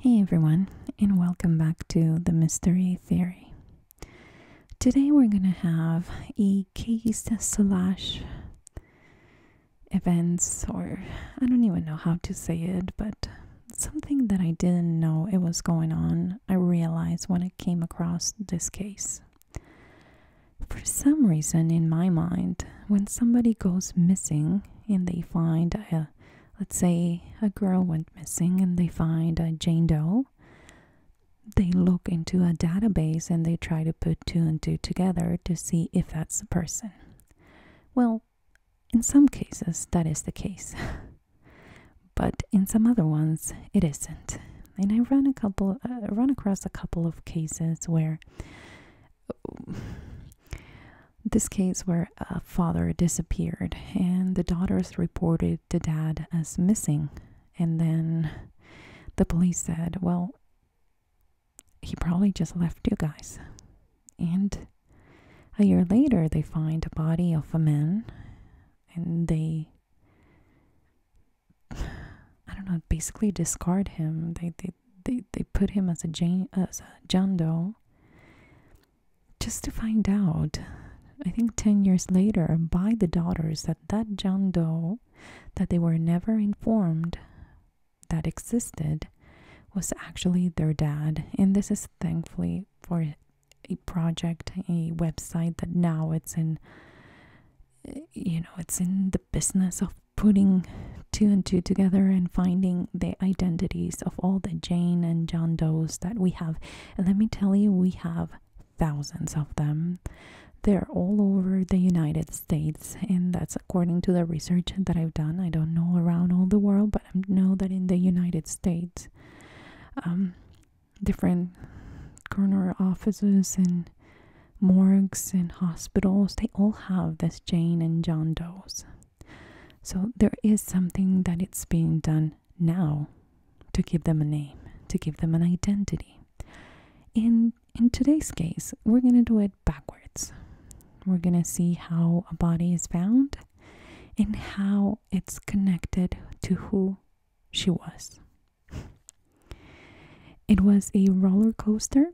Hey everyone, and welcome back to the Mystery Theory. Today we're going to have a case de solage events, or I don't even know how to say it, but something that I didn't know it was going on, I realized when I came across this case. For some reason, in my mind, when somebody goes missing and they find a, let's say, a girl went missing and they find a Jane Doe, they look into a database and they try to put two and two together to see if that's the person. Well, in some cases, that is the case. but in some other ones, it isn't. And I run a couple, uh, across a couple of cases where this case where a father disappeared and the daughters reported the dad as missing, and then the police said, "Well, he probably just left you guys." And a year later, they find a body of a man and they, I don't know, basically discard him. They, they, they, they put him as a, as a John Doe just to find out I think 10 years later by the daughters that that John Doe that they were never informed that existed was actually their dad and this is thankfully for a project, a website that now it's in you know, it's in the business of putting two and two together and finding the identities of all the Jane and John Does that we have. let me tell you, we have thousands of them. They're all over the United States, and that's according to the research that I've done. I don't know around all the world, but I know that in the United States, um, different coroner offices and morgues and hospitals, they all have this Jane and John Doe's. So there is something that it's being done now to give them a name, to give them an identity. In in today's case, we're going to do it backwards. We're going to see how a body is found and how it's connected to who she was. It was a roller coaster.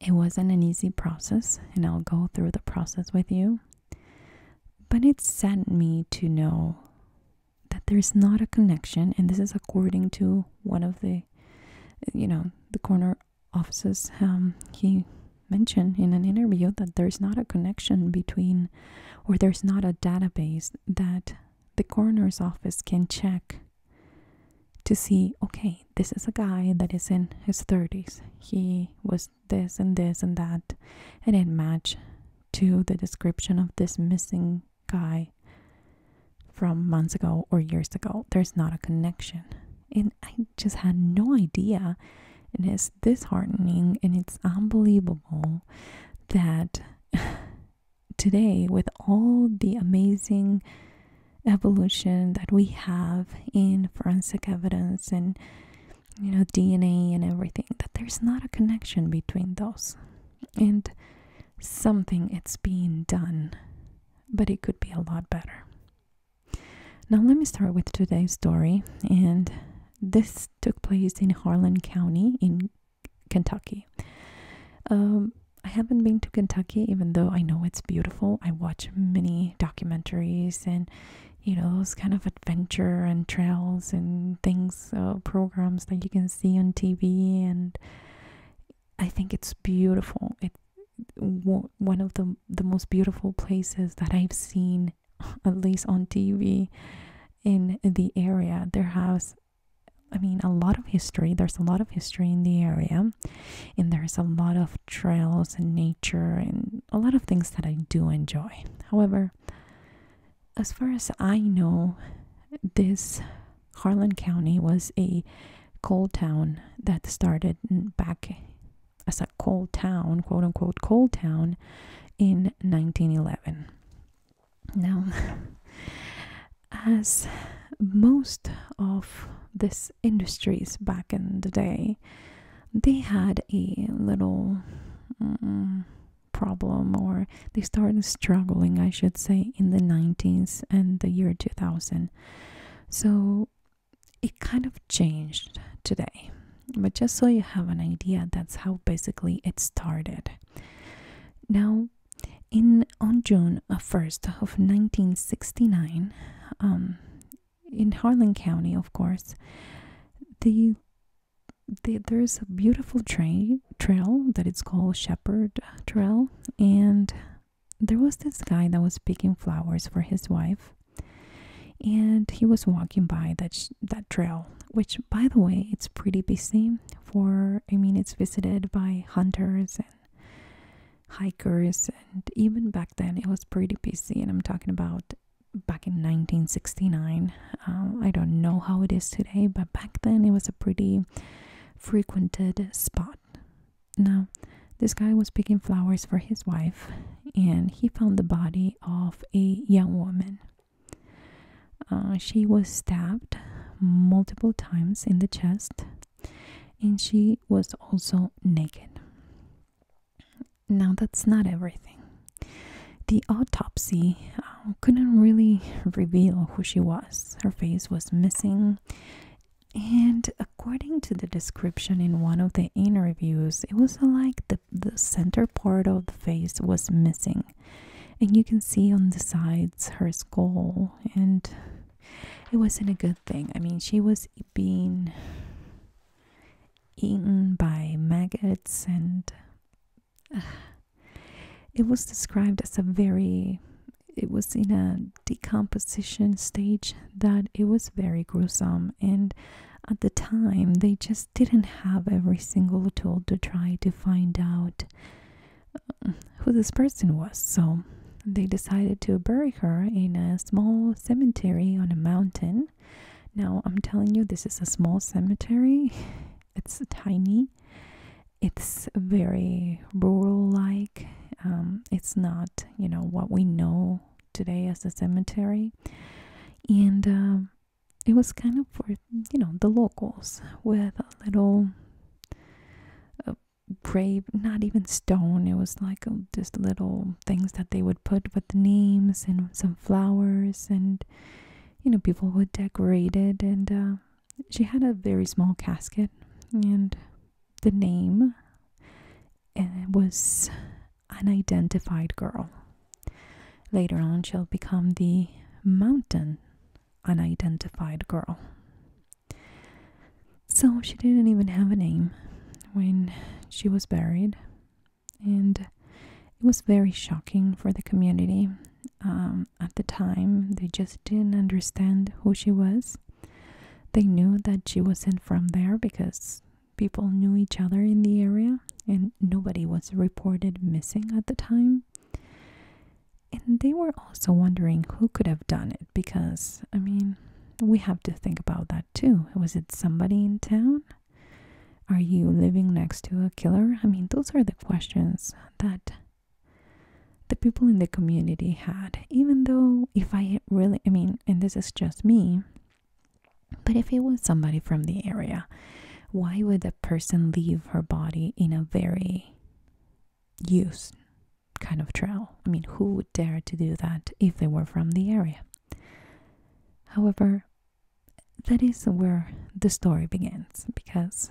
It wasn't an easy process, and I'll go through the process with you. But it saddened me to know that there's not a connection, and this is according to one of the, you know, the corner offices, um, he mentioned in an interview that there's not a connection between, or there's not a database that the coroner's office can check to see okay, this is a guy that is in his 30s. He was this and this and that, and it matched to the description of this missing guy from months ago or years ago. There's not a connection. And I just had no idea. And it's disheartening and it's unbelievable that today, with all the amazing evolution that we have in forensic evidence and you know DNA and everything that there's not a connection between those and something it's being done but it could be a lot better now, let me start with today's story. And this took place in Harlan County in Kentucky. Um, I haven't been to Kentucky, even though I know it's beautiful. I watch many documentaries and, you know, those kind of adventure and trails and things, uh, programs that you can see on TV. And I think it's beautiful one of the the most beautiful places that I've seen, at least on TV, in the area. There has, I mean, a lot of history. There's a lot of history in the area, and there's a lot of trails and nature and a lot of things that I do enjoy. However, as far as I know, this Harlan County was a coal town that started back as a coal town, quote unquote, coal town in 1911. Now, as most of these industries back in the day, they had a little mm, problem or they started struggling, I should say, in the 90s and the year 2000. So it kind of changed today. But just so you have an idea, that's how basically it started. Now, in on June 1st of 1969, um, in Harlan County, of course, the, there's a beautiful trail that it's called Shepherd Trail, and there was this guy that was picking flowers for his wife, and he was walking by that that trail which by the way it's pretty busy for i mean it's visited by hunters and hikers and even back then it was pretty busy and i'm talking about back in 1969 um, i don't know how it is today but back then it was a pretty frequented spot now this guy was picking flowers for his wife, and he found the body of a young woman. Uh, she was stabbed multiple times in the chest, and she was also naked. Now, that's not everything. The autopsy uh, couldn't really reveal who she was. Her face was missing, and According to the description in one of the interviews, it was like the, the center part of the face was missing. And you can see on the sides her skull, and it wasn't a good thing. I mean, she was being eaten by maggots, and it was described as a very, it was in a decomposition stage that it was very gruesome and at the time they just didn't have every single tool to try to find out uh, who this person was so they decided to bury her in a small cemetery on a mountain now i'm telling you this is a small cemetery it's tiny it's very rural like um, it's not you know what we know today as a cemetery. And um, it was kind of for, you know, the locals with a little uh, grave, not even stone. It was like um, just little things that they would put with names and some flowers and, you know, people would decorate it. And uh, she had a very small casket and the name and it was unidentified girl. Later on, she'll become the mountain unidentified girl. So she didn't even have a name when she was buried, and it was very shocking for the community. Um, at the time, they just didn't understand who she was. They knew that she wasn't from there because people knew each other in the area and nobody was reported missing at the time. And they were also wondering who could have done it because, I mean, we have to think about that too. Was it somebody in town? Are you living next to a killer? I mean, those are the questions that the people in the community had. Even though, if I really, I mean, and this is just me, but if it was somebody from the area, why would a person leave her body in a very used kind of trail? I mean, who would dare to do that if they were from the area? However, that is where the story begins because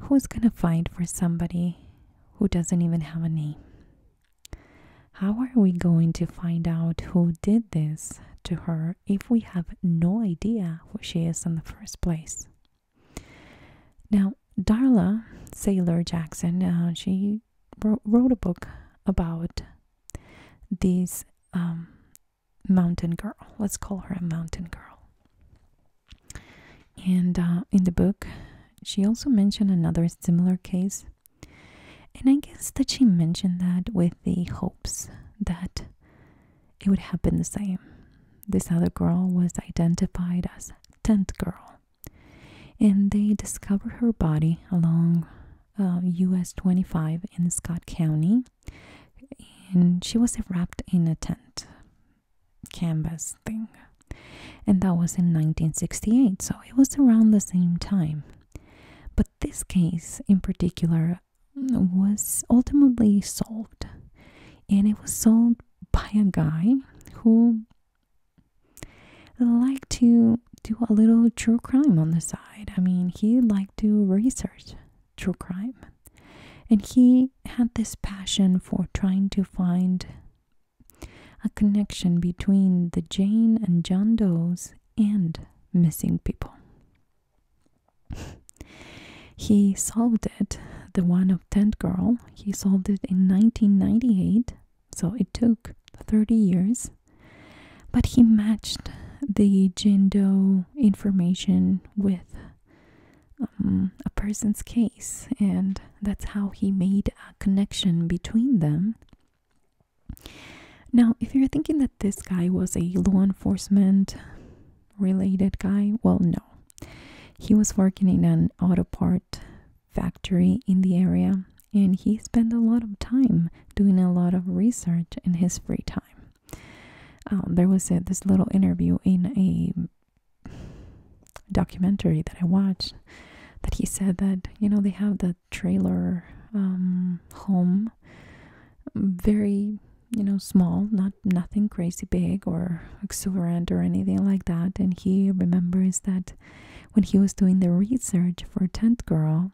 who's gonna fight for somebody who doesn't even have a name? How are we going to find out who did this to her if we have no idea who she is in the first place? Now, Darla Sailor Jackson, uh, she wrote, a book about this um, mountain girl. Let's call her a mountain girl. And uh, in the book, she also mentioned another similar case and I guess that she mentioned that with the hopes that it would happen the same. This other girl was identified as Tent girl. And they discovered her body along US uh, 25 in Scott County. And she was wrapped in a tent canvas thing. And that was in 1968. So it was around the same time but this case in particular was ultimately solved, and it was solved by a guy who liked to do a little true crime on the side. I mean, he liked to research true crime, and he had this passion for trying to find a connection between the Jane and John Does and missing people. he solved it, the one of Tent Girl, he solved it in 1998, so it took 30 years, but he matched the Jane Doe information with um, a person's case, and that's how he made a connection between them. Now, if you're thinking that this guy was a law enforcement related guy, well, no. He was working in an auto part factory in the area and he spent a lot of time doing a lot of research in his free time. Uh, there was uh, this little interview in a documentary that I watched that he said that, you know, they have the trailer um, home, very you know small, not nothing crazy big or exuberant or anything like that. And he remembers that when he was doing the research for Tent Girl,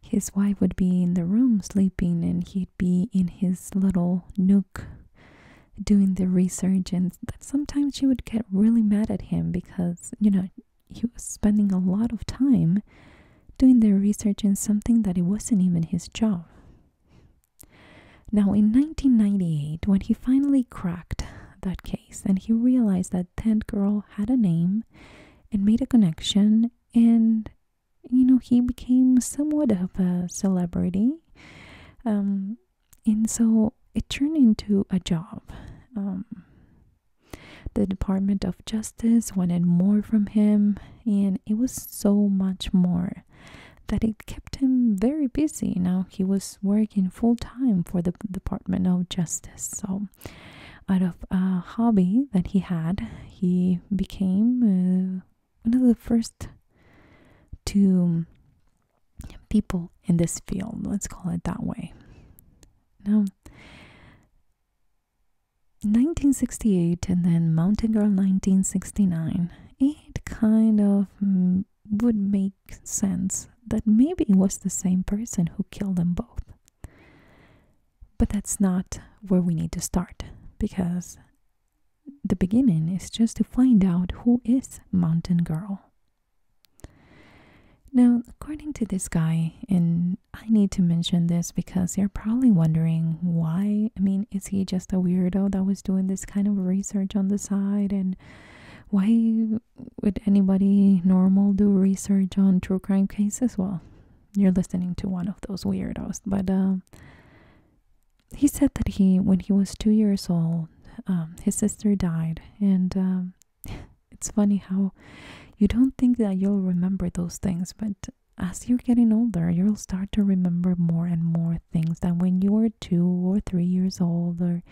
his wife would be in the room sleeping, and he'd be in his little nook doing the research and that sometimes she would get really mad at him because you know he was spending a lot of time doing the research in something that it wasn't even his job. Now, in 1998, when he finally cracked that case and he realized that that Girl had a name and made a connection, and you know, he became somewhat of a celebrity. Um, and so it turned into a job. Um, the Department of Justice wanted more from him, and it was so much more that it kept him very busy. Now he was working full time for the Department of Justice. So, out of a hobby that he had, he became uh, one of the first two people in this field, let's call it that way. Now, 1968 and then Mountain Girl 1969, it kind of would make sense that maybe it was the same person who killed them both. But that's not where we need to start because the beginning is just to find out who is Mountain Girl now, according to this guy, and I need to mention this because you're probably wondering why. I mean, is he just a weirdo that was doing this kind of research on the side? And why would anybody normal do research on true crime cases? Well, you're listening to one of those weirdos. But uh, he said that he, when he was two years old, um, his sister died, and um, it's funny how you don't think that you'll remember those things, but as you're getting older, you'll start to remember more and more things that when you were two or three years old or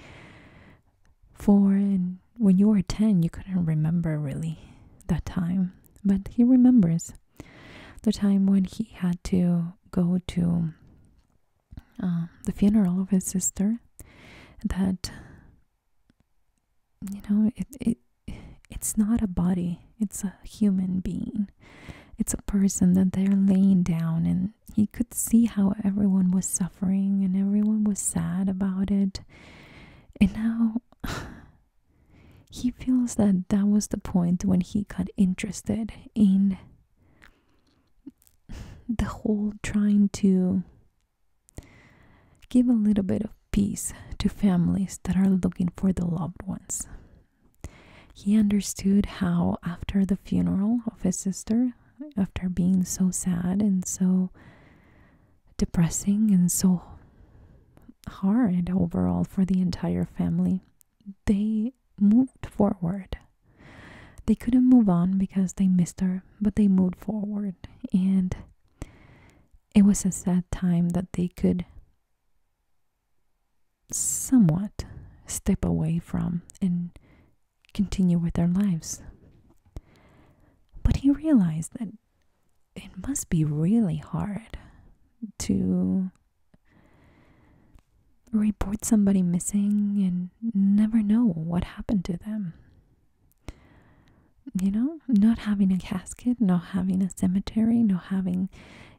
four, and when you were 10, you couldn't remember really that time. But he remembers the time when he had to go to um, the funeral of his sister that you know it, it it's not a body it's a human being it's a person that they're laying down and he could see how everyone was suffering and everyone was sad about it and now he feels that that was the point when he got interested in the whole trying to Give a little bit of peace to families that are looking for the loved ones. He understood how, after the funeral of his sister, after being so sad and so depressing and so hard overall for the entire family, they moved forward. They couldn't move on because they missed her, but they moved forward. And it was a sad time that they could somewhat step away from and continue with their lives. But he realized that it must be really hard to report somebody missing and never know what happened to them. You know, not having a casket, not having a cemetery, not having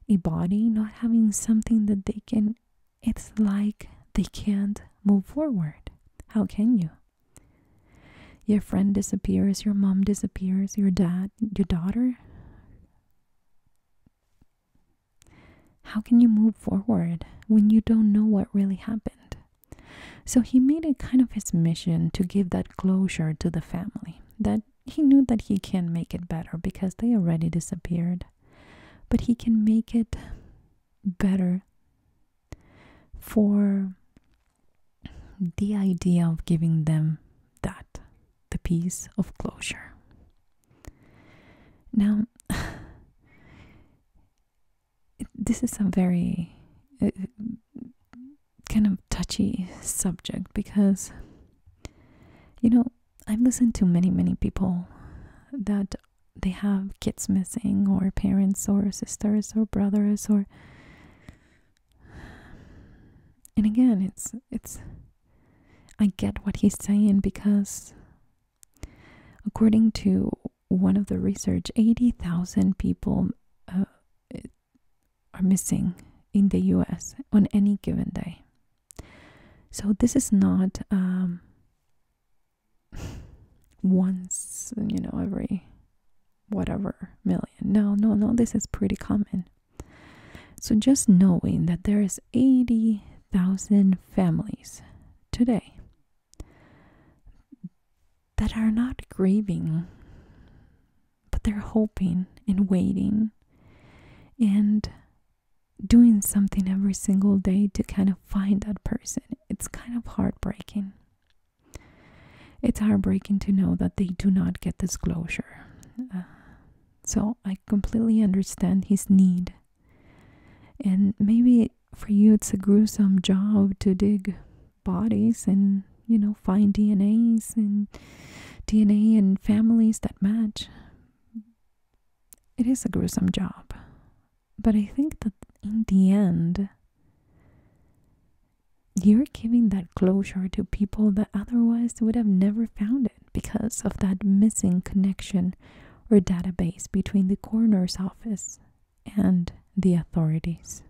a body, not having something that they can, it's like they can't move forward. How can you? Your friend disappears, your mom disappears, your dad, your daughter. How can you move forward when you don't know what really happened? So he made it kind of his mission to give that closure to the family, that he knew that he can not make it better because they already disappeared, but he can make it better for the idea of giving them that, the piece of closure. Now, this is a very uh, kind of touchy subject because, you know, I've listened to many, many people that they have kids missing, or parents, or sisters, or brothers, or. And again, it's it's. I get what he's saying because, according to one of the research, 80,000 people uh, are missing in the US on any given day. So this is not um, once, you know, every whatever million. No, no, no, this is pretty common. So just knowing that there is 80,000 families today that are not grieving, but they're hoping and waiting and doing something every single day to kind of find that person. It's kind of heartbreaking. It's heartbreaking to know that they do not get this closure. Uh, so I completely understand his need. And maybe for you, it's a gruesome job to dig bodies and you know find DNAs and DNA and families that match. It is a gruesome job, but I think that in the end, you're giving that closure to people that otherwise would have never found it because of that missing connection or database between the coroner's office and the authorities.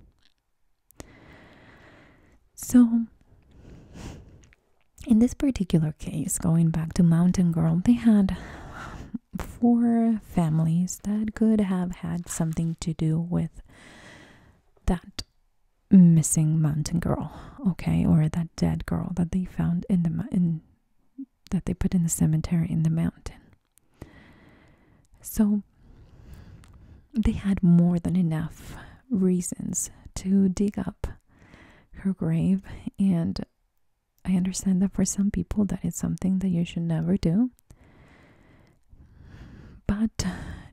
So, in this particular case, going back to Mountain Girl, they had four families that could have had something to do with that missing mountain girl, okay, or that dead girl that they found in the in that they put in the cemetery in the mountain. So they had more than enough reasons to dig up her grave and I understand that for some people that is something that you should never do. But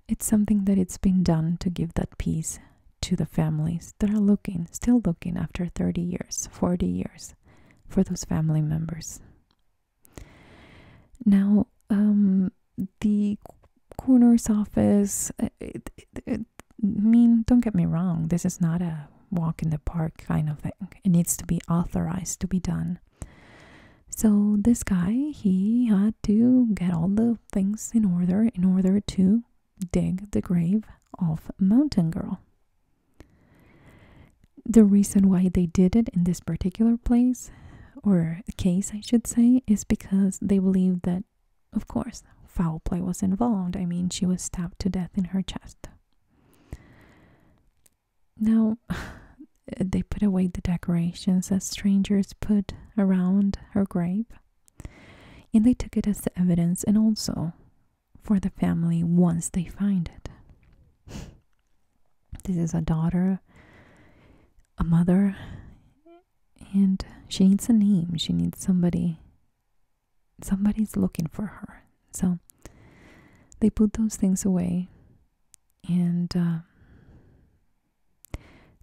it's something that it's been done to give that peace to the families that are looking, still looking after 30 years, 40 years for those family members. Now, um, the coroner's office, uh, I mean, don't get me wrong, this is not a walk in the park kind of thing. It needs to be authorized to be done. So this guy, he had to get all the things in order in order to dig the grave of Mountain Girl the reason why they did it in this particular place or case I should say is because they believed that of course foul play was involved. I mean, she was stabbed to death in her chest. Now, they put away the decorations that strangers put around her grave, and they took it as the evidence and also for the family once they find it. This is a daughter, a mother, and she needs a name. She needs somebody. Somebody's looking for her. So they put those things away and uh,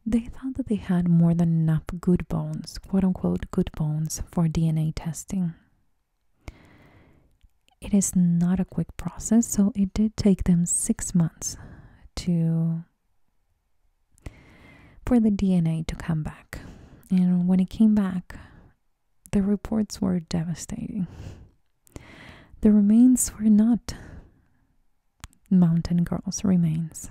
they thought that they had more than enough good bones, quote unquote, good bones for DNA testing it is not a quick process, so it did take them six months to for the DNA to come back. And when it came back, the reports were devastating. The remains were not Mountain Girl's remains.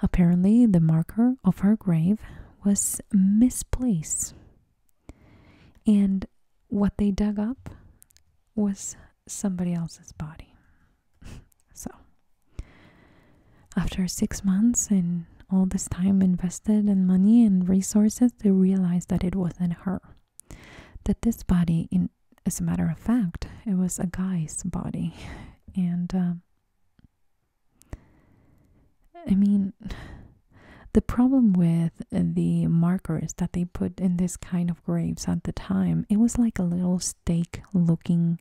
Apparently, the marker of her grave was misplaced and what they dug up was somebody else's body. so, after six months and all this time invested and money and resources, they realized that it wasn't her. That this body, in as a matter of fact, it was a guy's body, and um, I mean, the problem with the markers that they put in this kind of graves at the time, it was like a little stake looking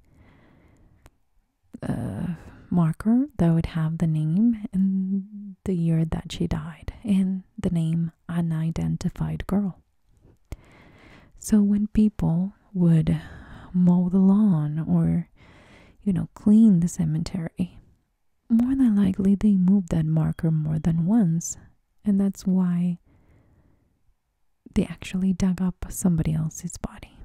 uh, marker that would have the name and the year that she died and the name unidentified girl. So when people would mow the lawn or, you know, clean the cemetery, more than likely they moved that marker more than once, and that's why they actually dug up somebody else's body.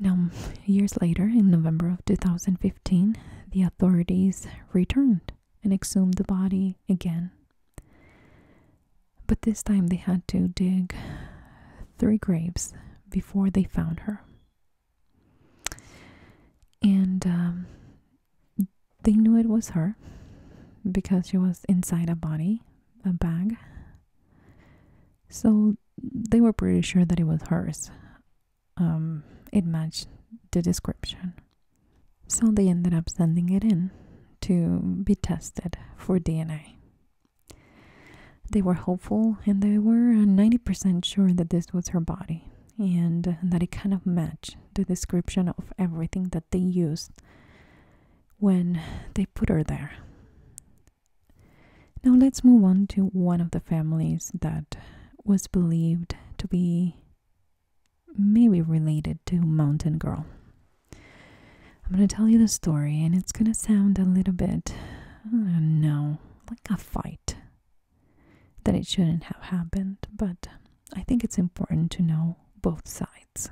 Now, years later, in November of 2015, the authorities returned and exhumed the body again. But this time they had to dig three graves before they found her. And um, they knew it was her because she was inside a body, a bag. So they were pretty sure that it was hers. Um, it matched the description. So they ended up sending it in to be tested for DNA. They were hopeful and they were 90% sure that this was her body and that it kind of matched the description of everything that they used when they put her there. Now let's move on to one of the families that was believed to be maybe related to Mountain Girl. I'm going to tell you the story and it's going to sound a little bit, I don't know, like a fight that it shouldn't have happened, but I think it's important to know both sides.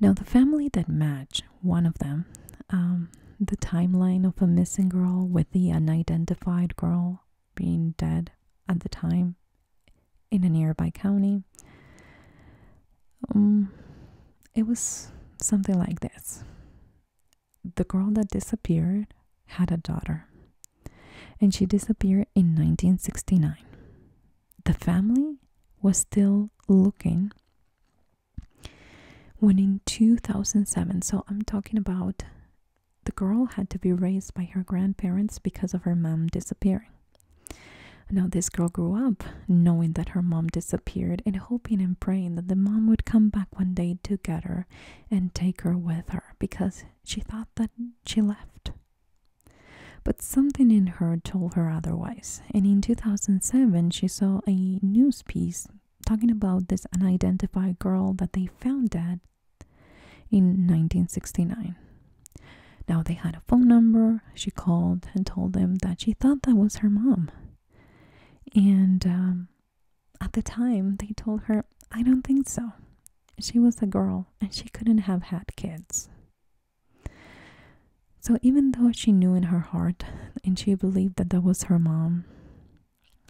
Now, the family that match one of them, um, the timeline of a missing girl with the unidentified girl being dead at the time in a nearby county, um, it was something like this the girl that disappeared had a daughter, and she disappeared in 1969. The family was still looking when in 2007, so I'm talking about the girl had to be raised by her grandparents because of her mom disappearing. Now, this girl grew up knowing that her mom disappeared and hoping and praying that the mom would come back one day to get her and take her with her because she thought that she left. But something in her told her otherwise, and in 2007 she saw a news piece talking about this unidentified girl that they found dead in 1969. Now they had a phone number, she called and told them that she thought that was her mom. And um, at the time, they told her, I don't think so. She was a girl and she couldn't have had kids. So, even though she knew in her heart and she believed that that was her mom,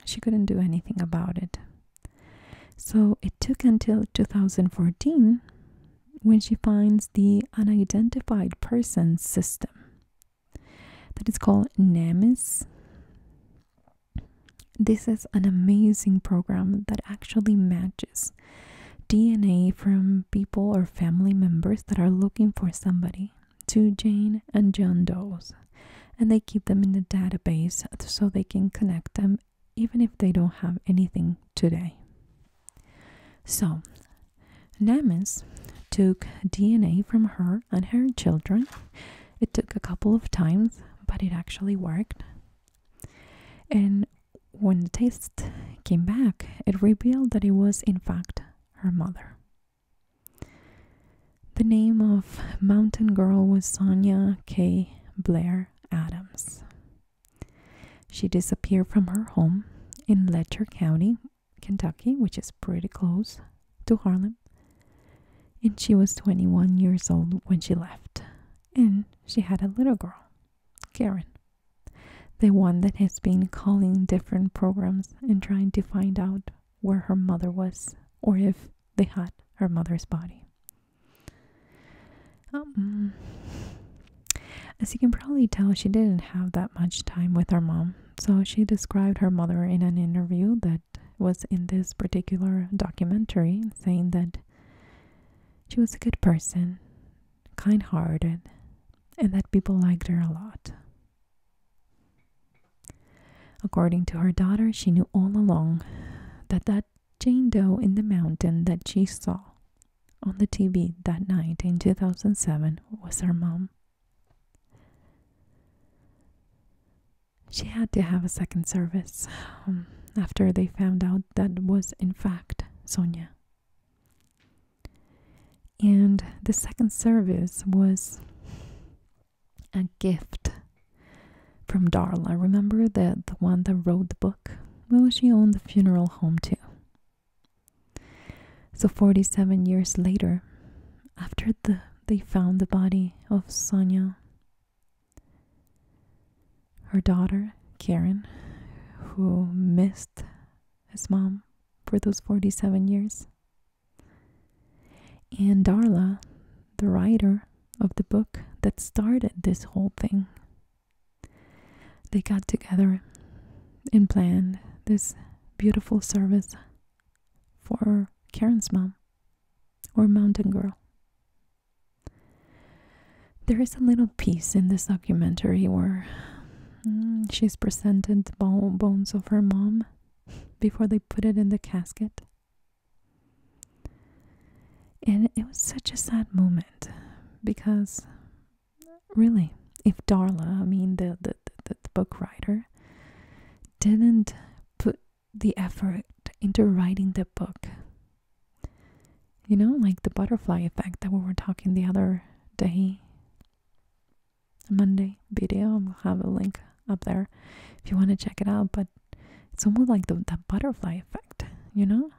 she couldn't do anything about it. So, it took until 2014 when she finds the unidentified person system that is called NAMIS this is an amazing program that actually matches DNA from people or family members that are looking for somebody to Jane and John Doe's. And they keep them in the database so they can connect them even if they don't have anything today. So, Nemes took DNA from her and her children it took a couple of times, but it actually worked. And when the test came back, it revealed that it was, in fact, her mother. The name of Mountain Girl was Sonia K. Blair Adams. She disappeared from her home in Letcher County, Kentucky, which is pretty close to Harlem, and she was 21 years old when she left. And she had a little girl, Karen, the one that has been calling different programs and trying to find out where her mother was or if they had her mother's body. Um, as you can probably tell, she didn't have that much time with her mom, so she described her mother in an interview that was in this particular documentary saying that she was a good person, kind hearted, and that people liked her a lot. According to her daughter, she knew all along that that Jane Doe in the mountain that she saw on the TV that night in 2007 was her mom. She had to have a second service um, after they found out that was, in fact, Sonia. And the second service was a gift from Darla. Remember the, the one that wrote the book? Well, she owned the funeral home too. So, 47 years later, after the, they found the body of Sonya, her daughter, Karen, who missed his mom for those 47 years, and Darla, the writer of the book that started this whole thing. They got together and planned this beautiful service for Karen's mom or Mountain Girl. There is a little piece in this documentary where mm, she's presented bones of her mom before they put it in the casket. And it was such a sad moment because, really, if Darla, I mean, the, the, the book writer, didn't put the effort into writing the book. You know, like the butterfly effect that we were talking the other day. Monday video, i will have a link up there if you want to check it out. But it's almost like the, the butterfly effect, you know?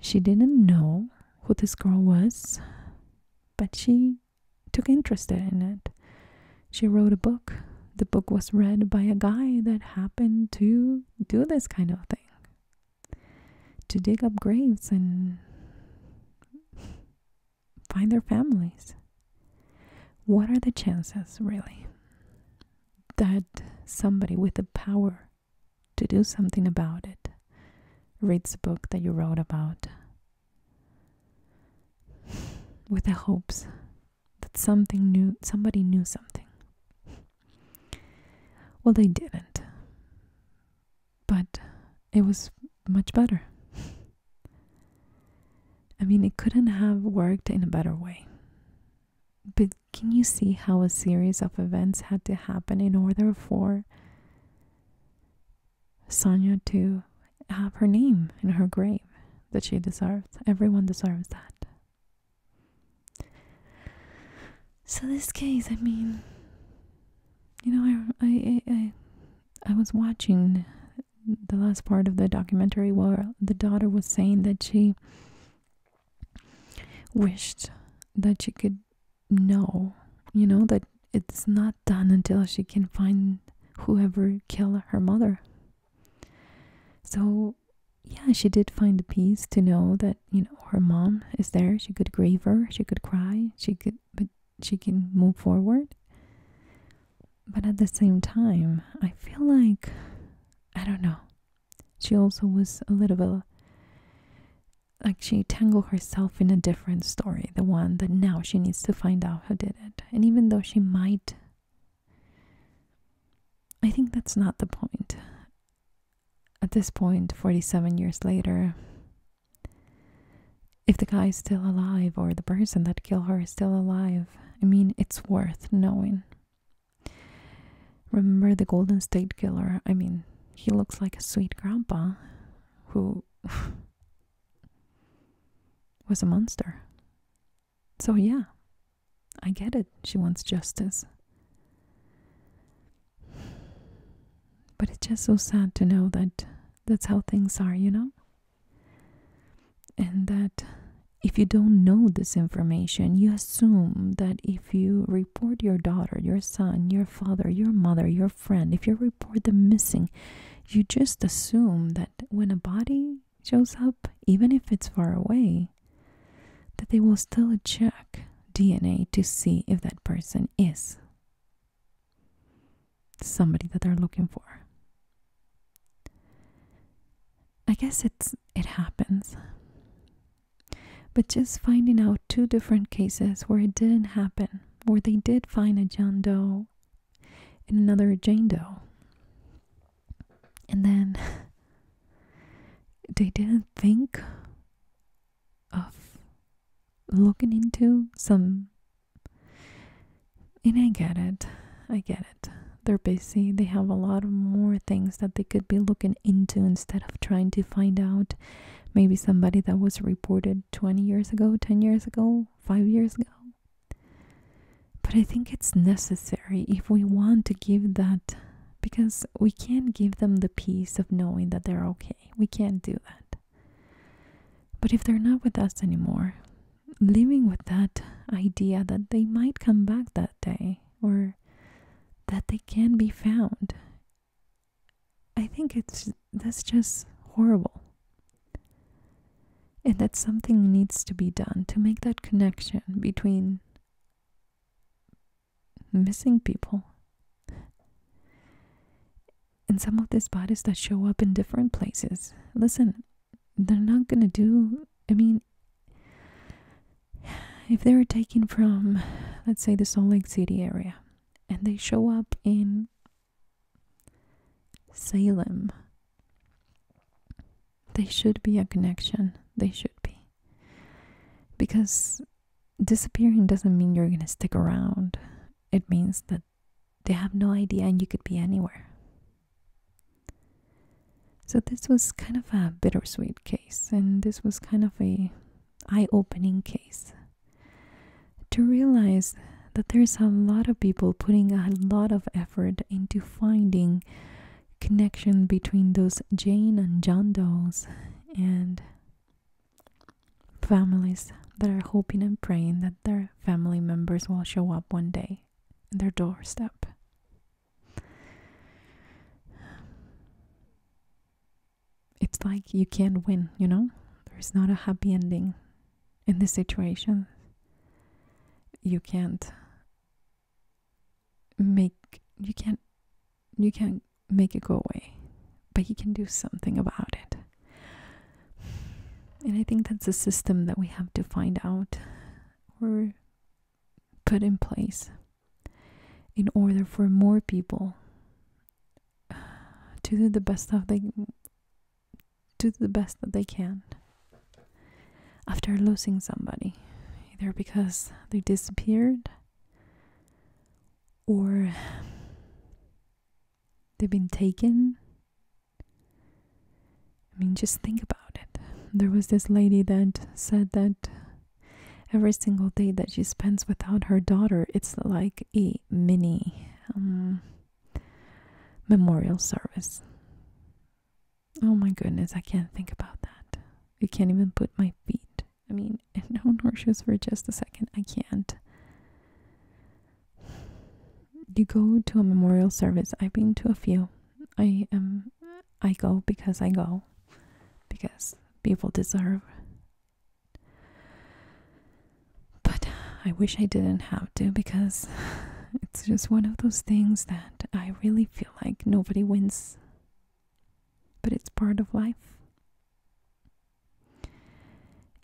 She didn't know who this girl was, but she took interest in it. She wrote a book. The book was read by a guy that happened to do this kind of thing to dig up graves and find their families. What are the chances, really, that somebody with the power to do something about it reads the book that you wrote about with the hopes that something new somebody knew something. Well, they didn't. But it was much better. I mean, it couldn't have worked in a better way. But can you see how a series of events had to happen in order for Sonia to have her name in her grave that she deserves. Everyone deserves that. So this case, I mean, you know, I I I, I was watching the last part of the documentary where the daughter was saying that she wished that she could know, you know, that it's not done until she can find whoever killed her mother. So, yeah, she did find the peace to know that, you know, her mom is there. She could grieve her, she could cry, she could, but she can move forward. But at the same time, I feel like, I don't know, she also was a little bit like she tangled herself in a different story, the one that now she needs to find out who did it. And even though she might I think that's not the point. At this point, 47 years later, if the guy is still alive or the person that killed her is still alive, I mean, it's worth knowing. Remember the Golden State Killer? I mean, he looks like a sweet grandpa who was a monster. So, yeah, I get it. She wants justice. But it's just so sad to know that that's how things are, you know? And that if you don't know this information, you assume that if you report your daughter, your son, your father, your mother, your friend, if you report them missing, you just assume that when a body shows up, even if it's far away, that they will still check DNA to see if that person is somebody that they're looking for. I guess it's it happens. But just finding out two different cases where it didn't happen, where they did find a John Doe in another a Jane Doe. And then they didn't think of looking into some. And I get it. I get it. They're busy. They have a lot of more things that they could be looking into instead of trying to find out maybe somebody that was reported 20 years ago, 10 years ago, 5 years ago. But I think it's necessary if we want to give that, because we can't give them the peace of knowing that they're okay. We can't do that. But if they're not with us anymore, living with that idea that they might come back that day or that they can be found, I think it's that's just horrible. And that something needs to be done to make that connection between missing people and some of these bodies that show up in different places. Listen, they're not gonna do, I mean, if they are taken from, let's say, the Salt Lake City area and they show up in Salem. They should be a connection. They should be. Because disappearing doesn't mean you're going to stick around, it means that they have no idea and you could be anywhere. So this was kind of a bittersweet case and this was kind of a eye-opening case to realize that there's a lot of people putting a lot of effort into finding connection between those Jane and John Does and families that are hoping and praying that their family members will show up one day in their doorstep. It's like you can't win, you know? There's not a happy ending in this situation. You can't make you can't you can't make it go away, but you can do something about it. And I think that's a system that we have to find out or put in place in order for more people to do the best of they do the best that they can after losing somebody, either because they disappeared or they've been taken. I mean, just think about it. There was this lady that said that every single day that she spends without her daughter, it's like a mini um, memorial service. Oh my goodness, I can't think about that. I can't even put my feet. I mean, no horseshoes for just a second. I can't. You go to a memorial service. I've been to a few. I am. Um, I go because I go, because people deserve. But I wish I didn't have to because it's just one of those things that I really feel like nobody wins, but it's part of life.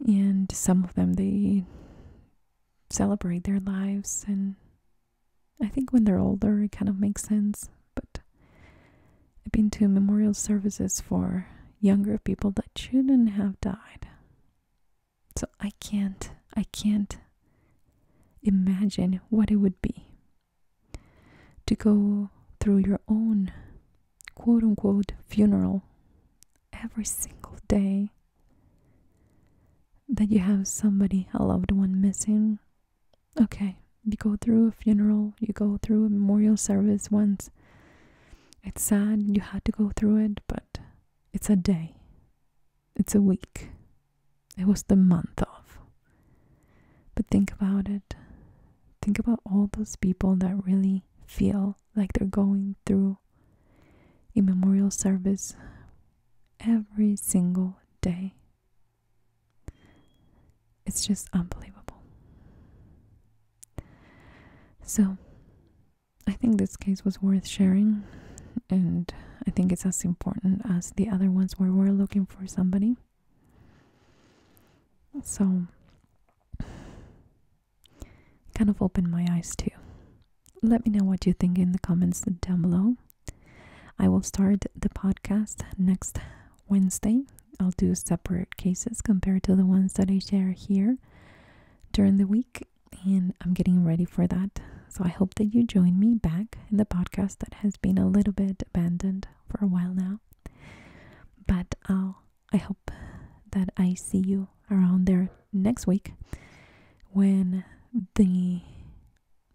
And some of them, they celebrate their lives, and I think when they're older, it kind of makes sense. But I've been to memorial services for younger people that shouldn't have died. So I can't, I can't imagine what it would be to go through your own quote unquote funeral every single day that you have somebody, a loved one missing. Okay, you go through a funeral, you go through a memorial service once. It's sad you had to go through it, but it's a day. It's a week. It was the month of. But think about it. Think about all those people that really feel like they're going through a memorial service every single day. It's just unbelievable. So, I think this case was worth sharing, and I think it's as important as the other ones where we're looking for somebody. So, kind of opened my eyes too. Let me know what you think in the comments down below. I will start the podcast next Wednesday. I'll do separate cases compared to the ones that I share here during the week and I'm getting ready for that. So I hope that you join me back in the podcast that has been a little bit abandoned for a while now. But I'll, I hope that I see you around there next week when the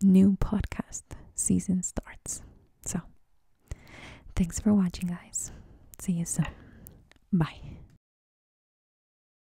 new podcast season starts. So, thanks for watching, guys. See you soon. Bye.